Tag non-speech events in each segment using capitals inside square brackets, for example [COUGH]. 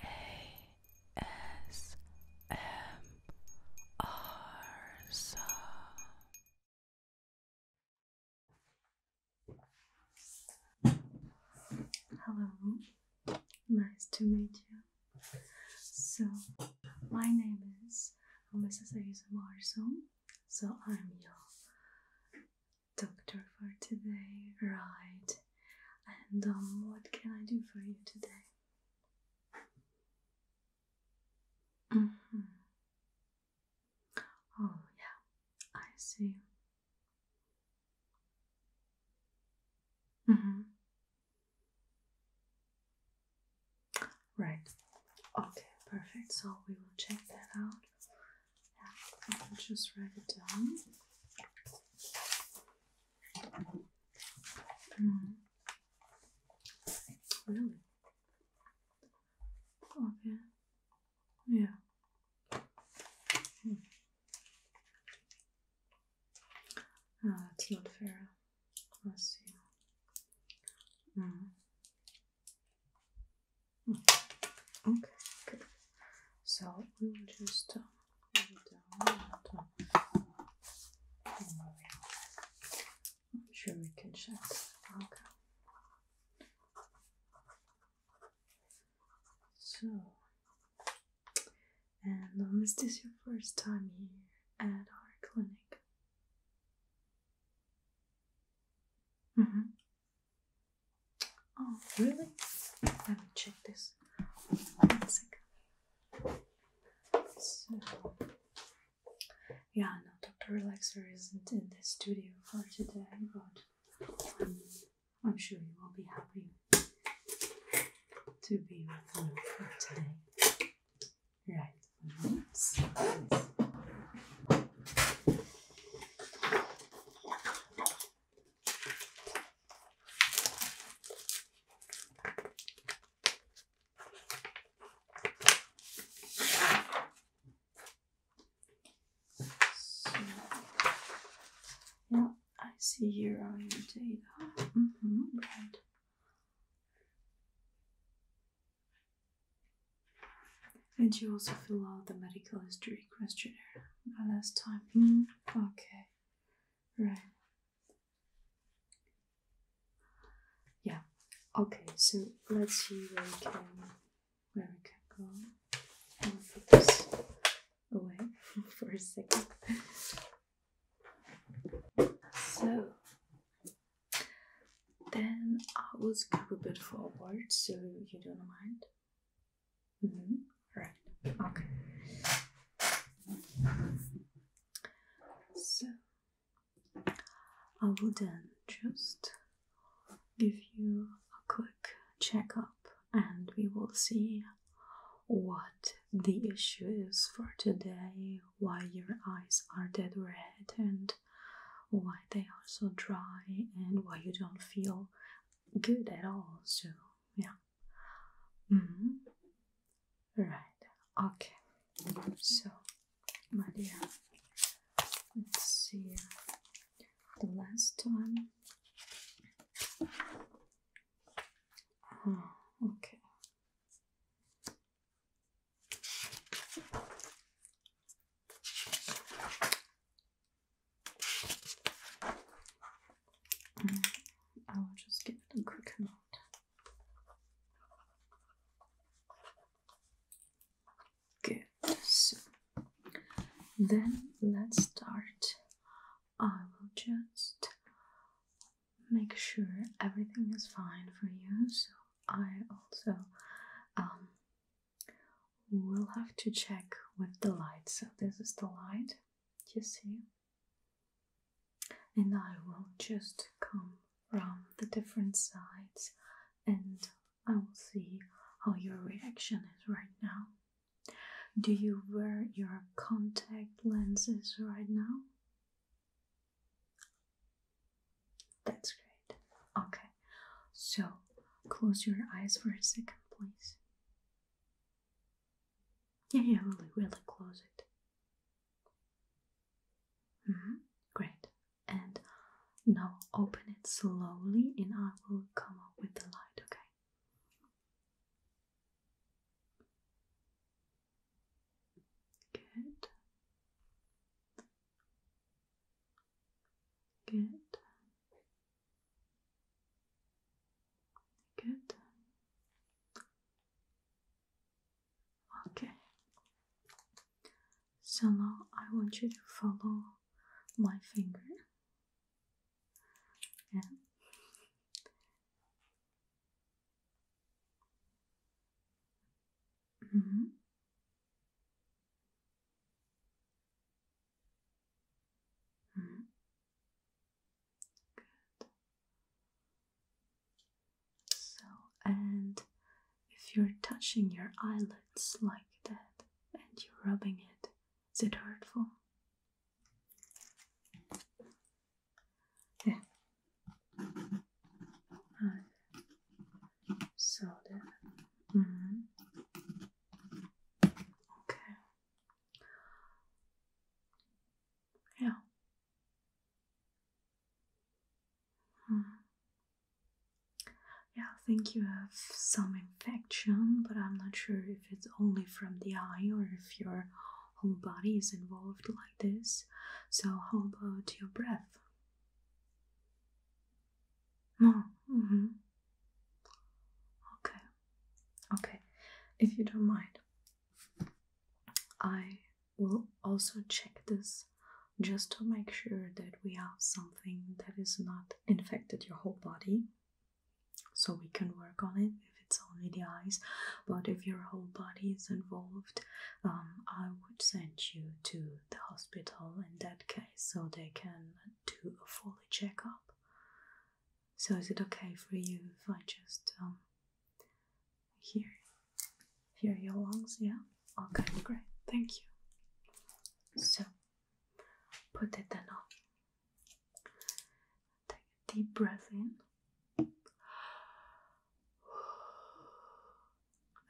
ASMR. Hello, nice to meet you. So, my name is Mrs. ASMR. So, I'm your doctor for today, right? And um, what can I do for you today? Mm-hmm. Oh, yeah, I see. Mm-hmm. Right. Okay, perfect. So we will check that out. I'll just write it down. Hmm. Really? Okay. Yeah. Hmm. Ah, that's not fair. Let's see. Hmm. Hmm. Okay, good. So we will just uh, I'm sure we can check. Okay. So, and um, is this your first time here at our clinic? Mm-hmm. Oh, really? Let me check this. One second. yeah, no, Dr. Relaxer isn't in the studio for today, but I'm, sure you will be happy to be with me for today. Right. So, I see here are your data. Mm -hmm, right. And you also fill out the medical history questionnaire last time. Mm-hmm. Okay. Right. Yeah. Okay, so let's see where we can where we can go. away [LAUGHS] for a second. So then I will scoop a bit forward so you don't mind. Mm -hmm. Right. Okay. So I will then just give you a quick checkup, and we will see what the issue is for today, why your eyes are dead red, and why they are so dry, and why you don't feel good at all. So yeah. -hmm. Right. Okay. So, my dear, let's see the last one. Oh, okay. I mm, will just give it a quick note. Good. So then let's start. I will just make sure everything is fine for you. So I also um, will have to check with the light. So this is the light you see? And I will just come from the different sides and I will see how your reaction is right now. Do you wear your contact lenses right now? That's great. Okay, so close your eyes for a second, please. Yeah, yeah, really, really close it. -hmm. Great. And now open it slowly, and I will come up with the light, okay? Good. Good. Good. Okay. So now I want you to follow my finger and mm -hmm. -hmm. So, and if you're touching your eyelids like that and you're rubbing it, is it hurtful? Yeah. so there. Mm-hmm. Okay. Yeah. Hmm. Yeah, I think you have some infection, but I'm not sure if it's only from the eye or if your whole body is involved like this. So, how about your breath? No. Mm-hmm. Okay. Okay, if you don't mind, I will also check this just to make sure that we have something that is not infected your whole body. So we can work on it if it's only the eyes, but if your whole body is involved, um, I would send you to the hospital in that case so they can do a full checkup so is it okay for you if I just um hear hear your lungs? Yeah. Okay, great. Thank you. So put it then on. Take a deep breath in.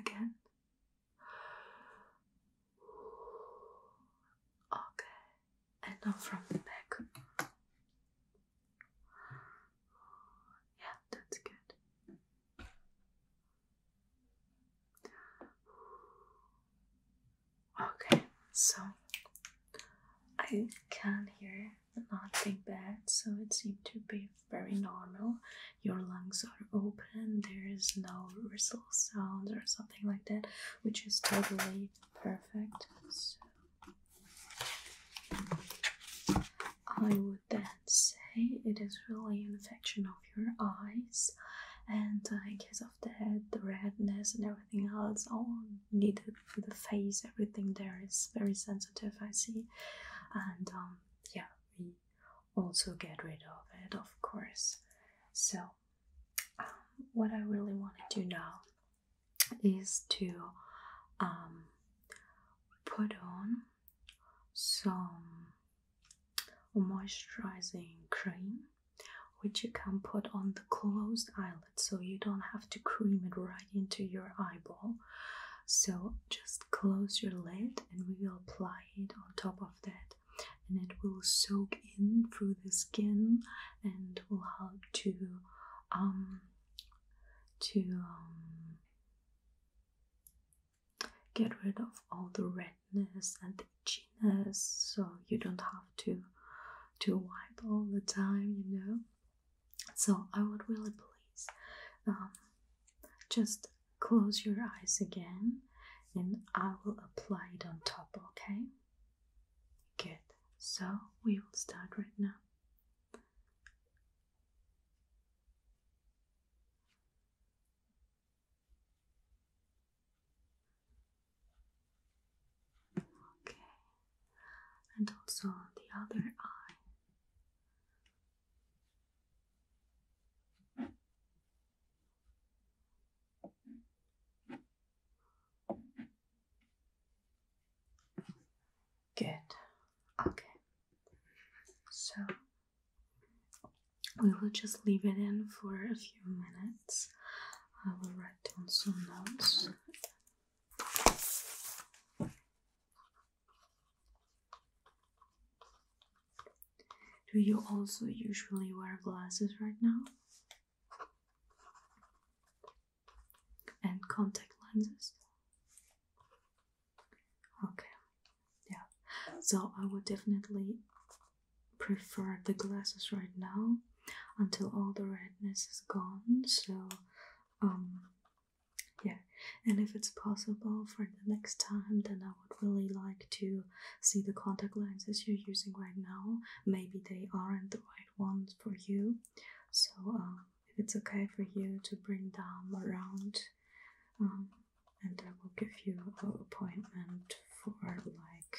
Again. Okay and not from the back. Yeah, that's good. Okay, so I can hear nothing bad, so it seemed to be very normal. Your lungs are open, there is no whistle sound or something like that, which is totally Perfect. So I would then say it is really an infection of your eyes, and uh, I guess case of that, the redness and everything else, all needed for the face, everything there is very sensitive, I see. And um, yeah, we also get rid of it, of course. So, um, what I really want to do now is to um, put on some moisturizing cream which you can put on the closed eyelid so you don't have to cream it right into your eyeball so just close your lid and we will apply it on top of that and it will soak in through the skin and will help to um to um, get rid of all the redness and the itchiness so you don't have to to wipe all the time you know so i would really please um, just close your eyes again and i will apply it on top okay Good. So we will start right now. Okay. And also the other eye. Good. Okay. So we will just leave it in for a few minutes. I will write down some notes. Do you also usually wear glasses right now? and contact lenses. Okay, yeah. So I would definitely prefer the glasses right now until all the redness is gone. So, um, yeah. And if it's possible for the next time, then I would really like to see the contact lenses you're using right now. Maybe they aren't the right right one for you. So, um, if it's okay for you to bring them around, um, and I will give you an appointment for like,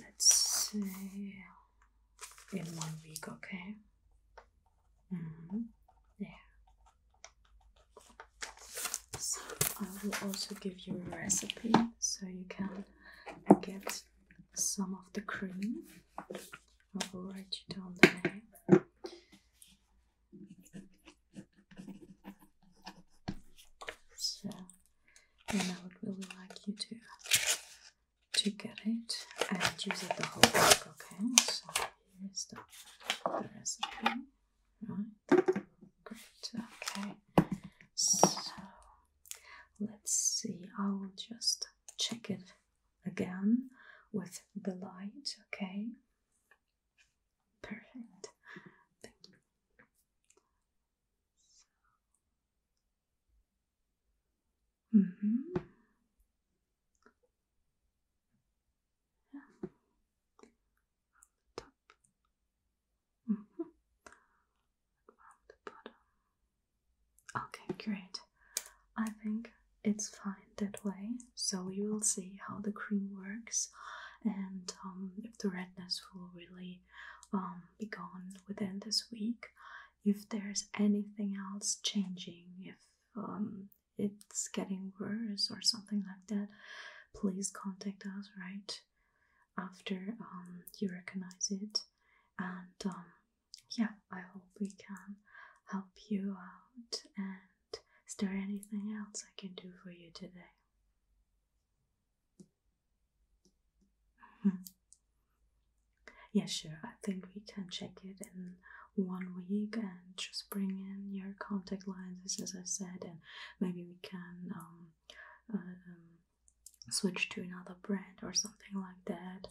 let's say, in one week, okay? Mm-hmm. Yeah. I will also give you a recipe so you can get some of the cream. I will write you down the name. So, and I would really like you to to get it and use it the whole week, okay? So here's the, the recipe. Right? Great. Okay. So Let's see, I will just check it again with the light, okay? Perfect. Thank you. Mm-hmm. Mm-hmm. Okay, great. I think it's fine that way. So we will see how the cream works and um, if the redness will really um, be gone within this week. If there's anything else changing, if um, it's getting worse or something like that, please contact us right after um, you recognize it and um, yeah, I hope we can help you out. And is there anything else I can do for you today? [LAUGHS] yeah, sure. I think we can check it in one week and just bring in your contact lenses, as I said, and maybe we can um, uh, um, switch to another brand or something like that.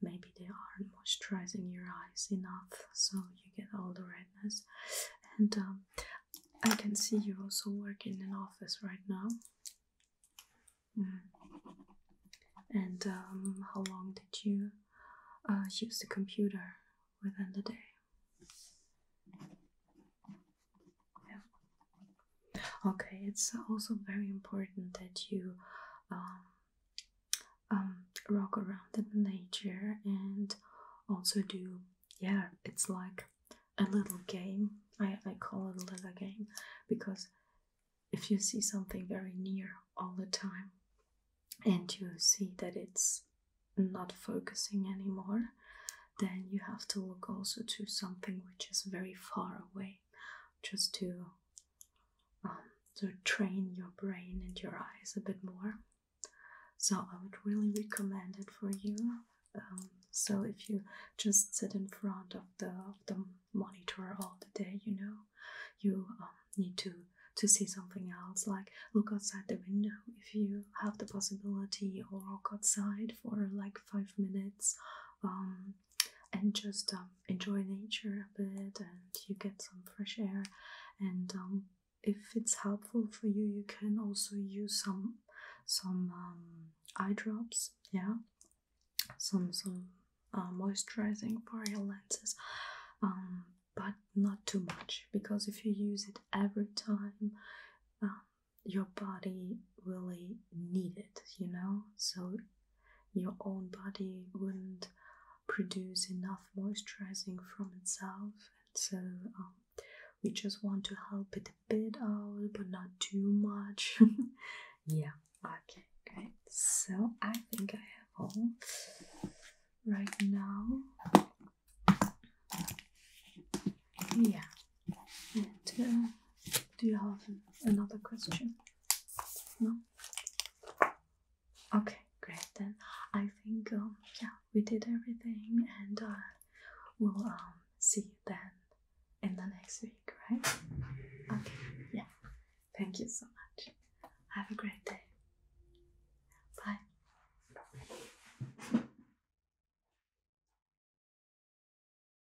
Maybe they aren't moisturizing your eyes enough, so you get all the redness. And um, I can see you also work in an office right now. Mm. And um, how long did you uh, use the computer within the day? Okay, it's also very important that you um, um, rock around in nature and also do, yeah, it's like a little game. I, I call it a little game because if you see something very near all the time and you see that it's not focusing anymore, then you have to look also to something which is very far away just to um, to train your brain and your eyes a bit more so i would really recommend it for you um, so if you just sit in front of the, of the monitor all the day you know you um, need to to see something else like look outside the window if you have the possibility or walk outside for like five minutes and just um, enjoy nature a bit and you get some fresh air and um, if it's helpful for you you can also use some some um, eye drops yeah some some uh, moisturizing for your lenses but not too much because if you use it every time your body really it, you know? So your own body wouldn't produce enough moisturizing from itself. And so um, we just want to help it a bit out, but not too much. [LAUGHS] yeah, okay, great. So I think I have all right now. Yeah. Yeah, uh, do, you have another question? No? Okay, great. Then I think, um, yeah, we did everything, and uh, we'll um, see you then in the next week, right? Okay, yeah. Thank you so much. Have a great day. Bye.